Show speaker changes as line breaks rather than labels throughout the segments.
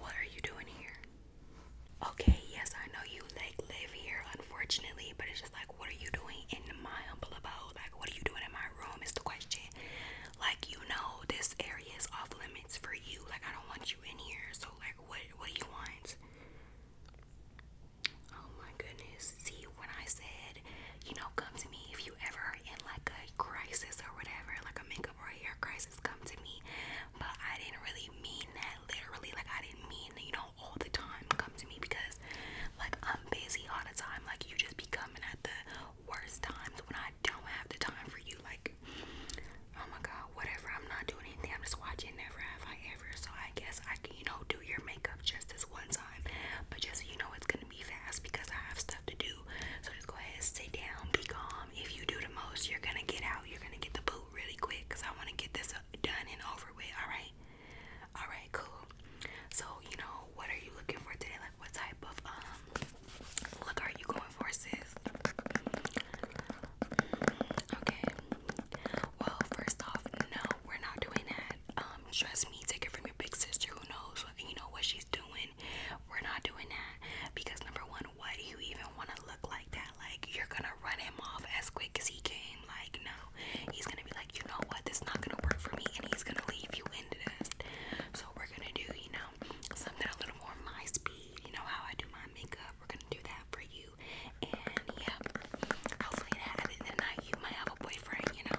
What are you doing here? Okay, yes, I know you like live here, unfortunately, but it's just like, what are you doing in my humble abode? Like, what are you doing in my room? Is the question. Like, you know, this area is off limits for you. Like, I don't want you in here. So, like, what what do you want? Oh my goodness. See, when I said, you know, come to me if you ever in like a crisis or whatever, like a makeup or hair crisis, come to me but I didn't really mean that literally. Like, I didn't mean, you know, all the time come to me because, like, I'm busy all the time. Like, you just be coming at the worst times when I don't have the time for you. Like, oh my god, whatever. I'm not doing anything. I'm just watching Never Have I Ever. So, I guess I can, you know, do your makeup just this one time. But just, you know, it's gonna be fast because I have stuff to do. So, just go ahead, sit down, be gone um, if you do the most, you're gonna get out. You're gonna get the boot really quick because I want to get this uh, done and over with. All right, all right, cool. So you know, what are you looking for today? Like, what type of um look are you going for, sis? Okay. Well, first off, no, we're not doing that. Um, trust me, take it from your big sister who knows, you know what she's doing we're not doing that because number one, why do you even want to look like that? Like you're gonna run him off as quick as he came. Like no, he's gonna be like, you know what, this not gonna work for me, and he's gonna leave you in the dust. So we're gonna do, you know, something a little more my speed. You know how I do my makeup. We're gonna do that for you, and yeah, hopefully that at the night uh, you might have a boyfriend. You know.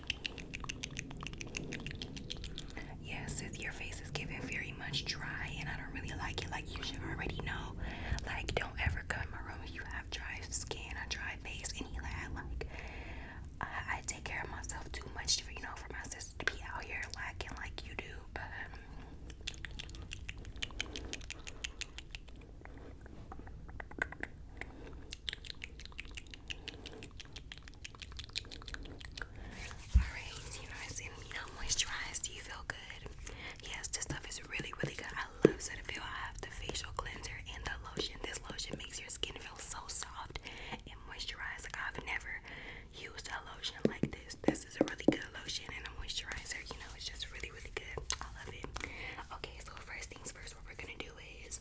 Yeah, sis, your face is getting very much dry, and I don't really like it. Like, you should already know. Like, don't ever come in my room if you have dry skin, a dry face, and like, I, take care of myself too much, for, you know, for my sister to be out here lacking like you do, but. Um, Alright, you know I said you know moisturized. Do you feel good? Yes, this stuff is really, really good. I love Cetaphil. I have the facial cleanser and the lotion. This lotion makes your skin feel so soft and moisturized. Like I've never used a lotion like this. This is a really good lotion and a moisturizer. You know, it's just really, really good. I love it. Okay, so first things first, what we're gonna do is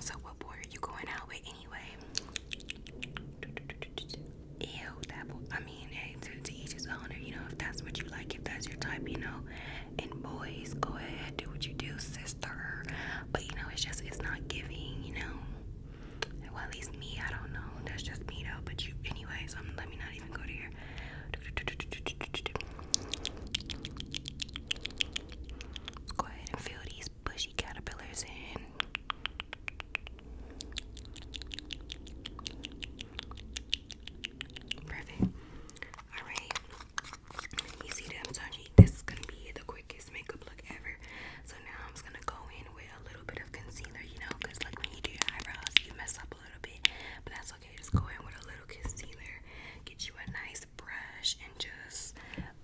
So, what boy are you going out with anyway? Ew, that boy. I mean, hey, to, to each his own, you know, if that's what you like, if that's your type, you know. And boys, go ahead, do what you do, sister. But, you know, it's just, it's not giving, you know. Well, at least me, I don't know. That's just me, though. But you, anyways, um, let me not even go to here go ahead and fill these bushy caterpillars in. Perfect. Alright. You see that i this is gonna be the quickest makeup look ever. So now I'm just gonna go in with a little bit of concealer, you know, like when you do eyebrows, you mess up but that's okay. Just go in with a little concealer, get you a nice brush, and just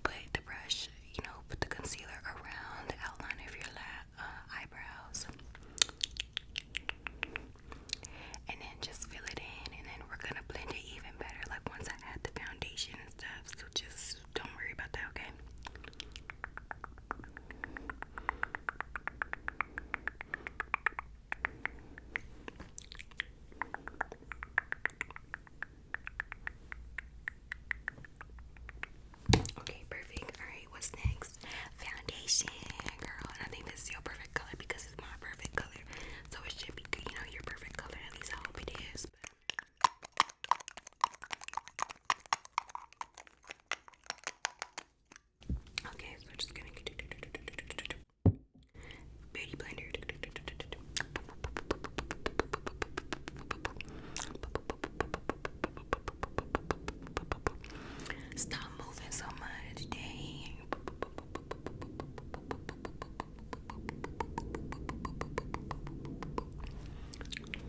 put the brush, you know, put the concealer around the outline of your la uh, eyebrows, and then just fill it in. And then we're gonna blend it even better. Like once I add the foundation and stuff, so just don't worry about that, okay? Okay, perfect. Alright, what's next? Foundation, girl. And I think perfect color because it's my perfect color. So it should be you know, your perfect color. At least I hope it is. Okay, so just gonna beauty blender. Stop moving so much, dang. The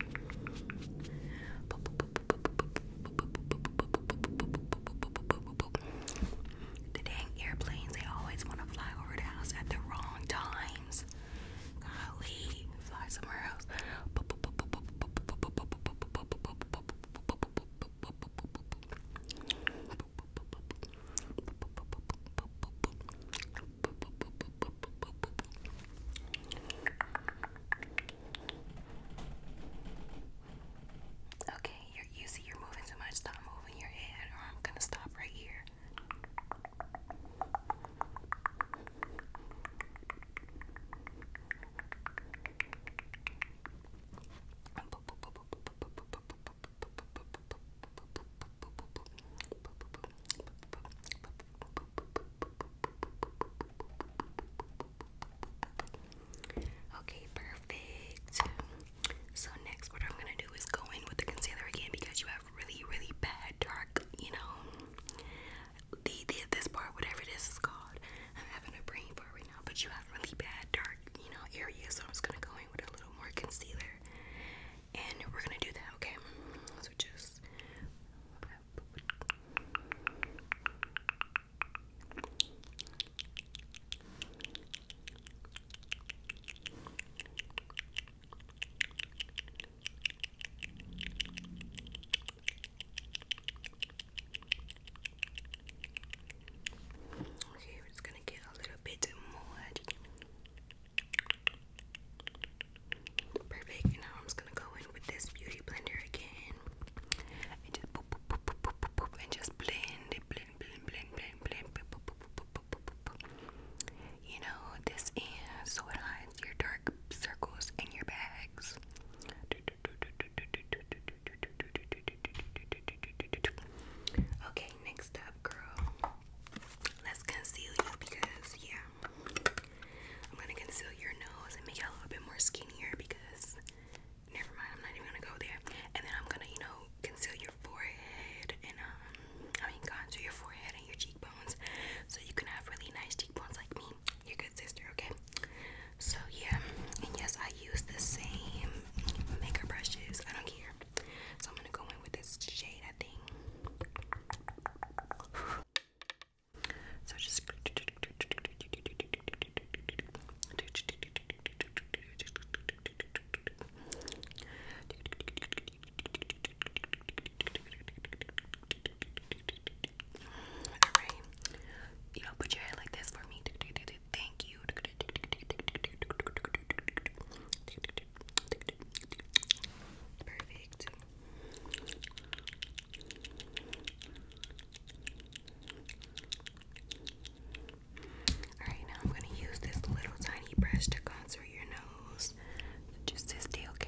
dang airplanes, they always want to fly over the house at the wrong times. Golly, fly somewhere else. Okay, you see you're moving too much. Stop moving your head, or I'm gonna stop right here. Okay, perfect. So next what I'm gonna do is go in with the concealer again because you have really, really bad dark, you know, the, the this part, whatever it is is called. I'm having a brain for right now, but you have really bad dark, you know, areas. So I'm just gonna go in with a little more concealer, and we're gonna do that, okay? So just Okay, we gonna get a little bit more. Perfect. now I'm just gonna go in with this beauty blender again. And just boop boop boop boop and just blend blend, blend, blend, blend, boop boop boop boop boop. boop. You know this in so it hides your dark circles and your bags. Okay, next up, girl. Let's conceal you because yeah, I'm gonna conceal your nose and make it a little bit more skinnier because never mind, I'm not even gonna go there. And then I'm gonna, you know, conceal your forehead and um I mean contour your forehead and your cheekbones so you can have really nice cheekbones like me, your good sister, okay? So yeah, and yes I use the same makeup brushes. I don't care. So I'm gonna go in with this shade I Alright. You know, put your head like this for me. Thank you. Alright, now I'm going to use this little tiny brush to contour your nose. Just this okay?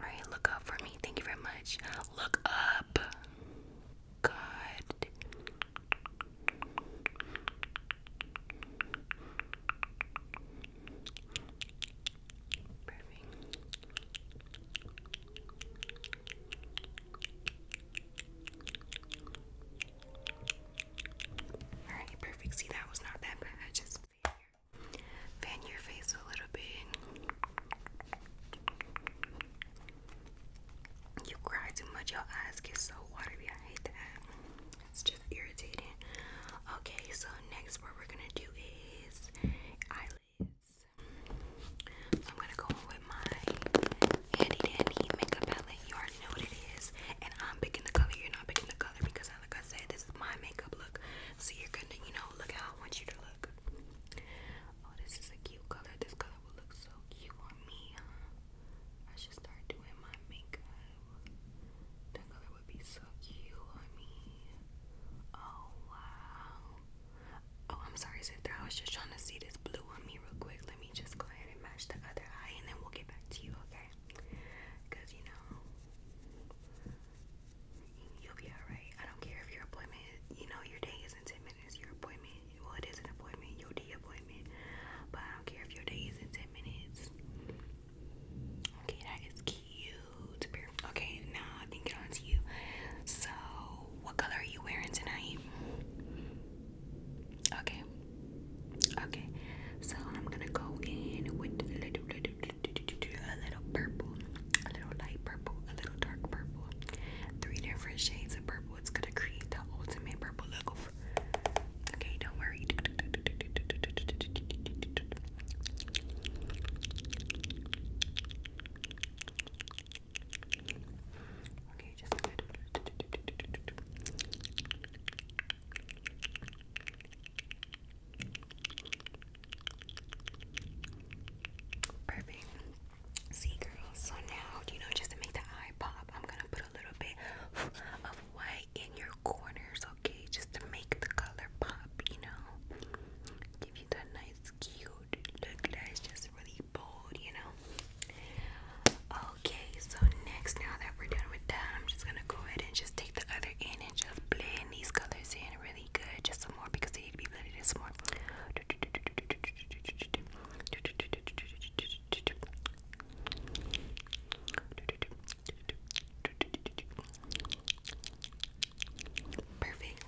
Alright, look up for me. Thank you very much. Look up. God. Perfect. Alright, perfect. See, that was not that bad. just. Fan your face a little bit. You cry too much, your eyes get so watery. I hate that. It's just irritating. Okay, so next, what we're gonna do is eyelids. I'm gonna go in with my handy dandy makeup palette. You already know what it is, and I'm picking the color. You're not picking the color because like I said, this is my makeup look. So you're gonna, you know, look how I want you to look. Oh, this is a cute color. This color will look so cute on me. I should start doing my makeup. That color would be so cute on me. Oh wow. Oh, I'm sorry, sister. I was just trying to see this blue on me real quick. Let me just go ahead and match the other eye, and then we'll get back to you, okay? Cause you know, You'll be alright. I don't care if your appointment, you know, your day is in 10 minutes. Your appointment, well, it is an appointment, your appointment. But I don't care if your day isn't 10 minutes. Okay, that is cute. Okay, now I think it on to you. So, what color are you wearing tonight? Okay, Okay, so I'm gonna go in with a little, little, little, little purple, a little light purple, a little dark purple, three different shades of purple. It's gonna create the ultimate purple look. Okay, don't worry. Okay, Perfect. See, girls, so now, you know, just to make the eye pop, I'm gonna put a little bit of white in your corners, okay? Just to make the color pop, you know? Give you that nice, cute look that is just really bold, you know? Okay, so next, now that we're done with that, I'm just gonna go ahead and just take the other end and just blend these colors in really good, just some more because they need to be blended in some more. Perfect.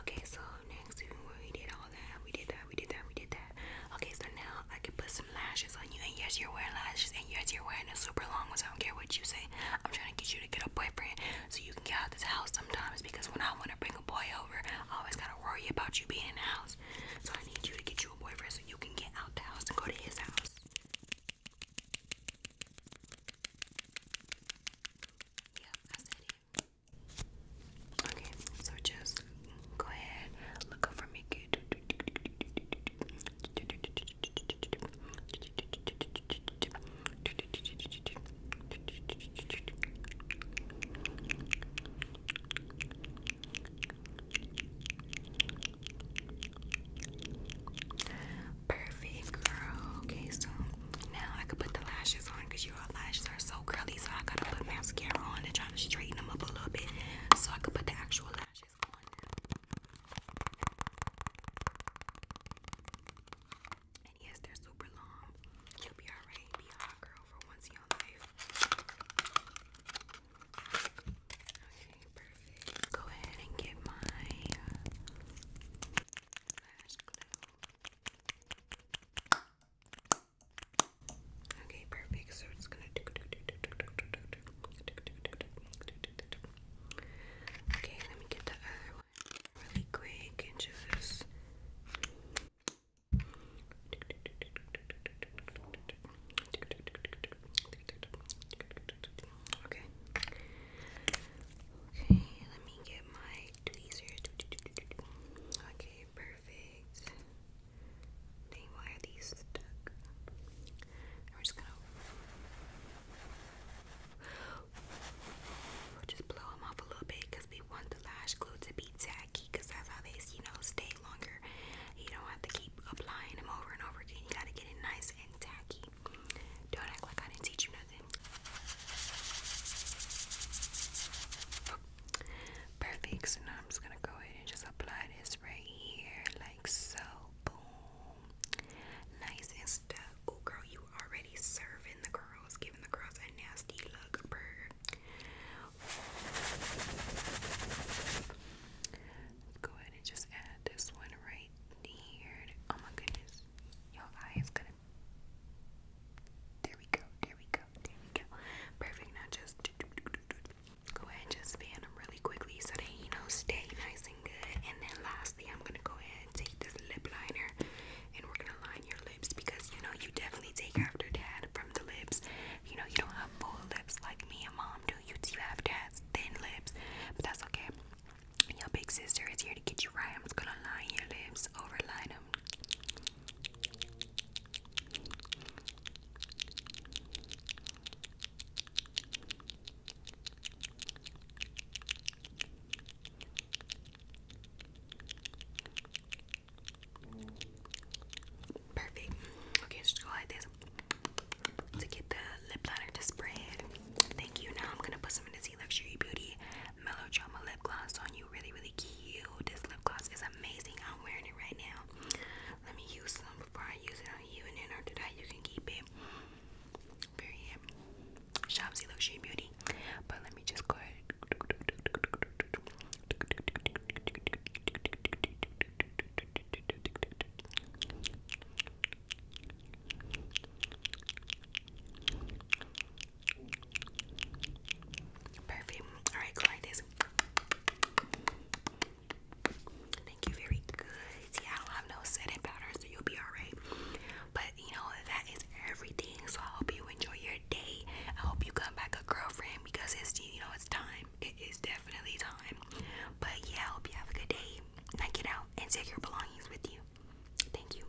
Okay, so next, even when we did all that, we did that, we did that, we did that. Okay, so now I can put some lashes on you, and yes, you're wearing lashes, and yes, you're wearing a super long ones. I don't care what you say. I'm trying to get you to get a boyfriend so you can get out this house sometimes. Because when I want to bring a boy over, I always gotta worry about you being in the house. So I need you to get you a boyfriend so you can get out the house and go to his house. Yeah, I said it. Okay, so just go ahead, look up for me. Perfect, girl. Okay, so now I could put the lashes on because your lashes are so curly, so I gotta put mascara on and try to straighten them up a little bit so I could put the actual lashes much And yes, they're super long. you be alright, girl for once in your life. Okay, perfect. Go ahead and get my lash glue. Okay, perfect. So it's gonna Okay, let me get the other one really quick and just Okay. Okay, let me get my tweezers. Okay, perfect perfect. just blow them off a little bit we want the lash glue to be tacky that's how they, you know, stay longer. You don't have to keep applying them over and over again. You gotta get it nice and tacky. Don't act like I didn't teach you nothing. Perfect. So now I'm just gonna go ahead and just apply this right here, like so. Boom. Nice and stuff. Oh girl, you already serving the girls, giving the girls a nasty look. Let's go ahead and just add this one right here. Oh my goodness. Your eye is gonna there we go, there we go, there we go. Perfect. Now just go ahead and just fan them really quickly so that you know, stay nice and good. And then lastly, I'm gonna go ahead and take this lip liner and we're gonna line your lips because you know you definitely take after dad from the lips. You know, you don't have full lips like me and mom do. You do have dad's thin lips, but that's okay. Your big sister is here to get you right. I'm just gonna line your lips, overline them, Perfect. Okay, just go like this to get the lip liner to spread. Thank you. Now I'm gonna put some of this E Luxury Beauty Melodrama lip gloss on you really, really this lip gloss is amazing. I'm wearing it right now. Let me use some before I use it on you, and then after that, you can keep it. Period. Shopsy Luxury Beauty. But let me just go ahead. Perfect. Alright, go like this. Thank you, very good. Yeah, I don't have no setting powder, so you'll be alright. But you know, that is everything. So I hope you enjoy your day. I hope you come back a girlfriend because it's you know it's time. It is definitely time. But yeah, I hope you have a good day. Now get out and take your belongings with you. Thank you.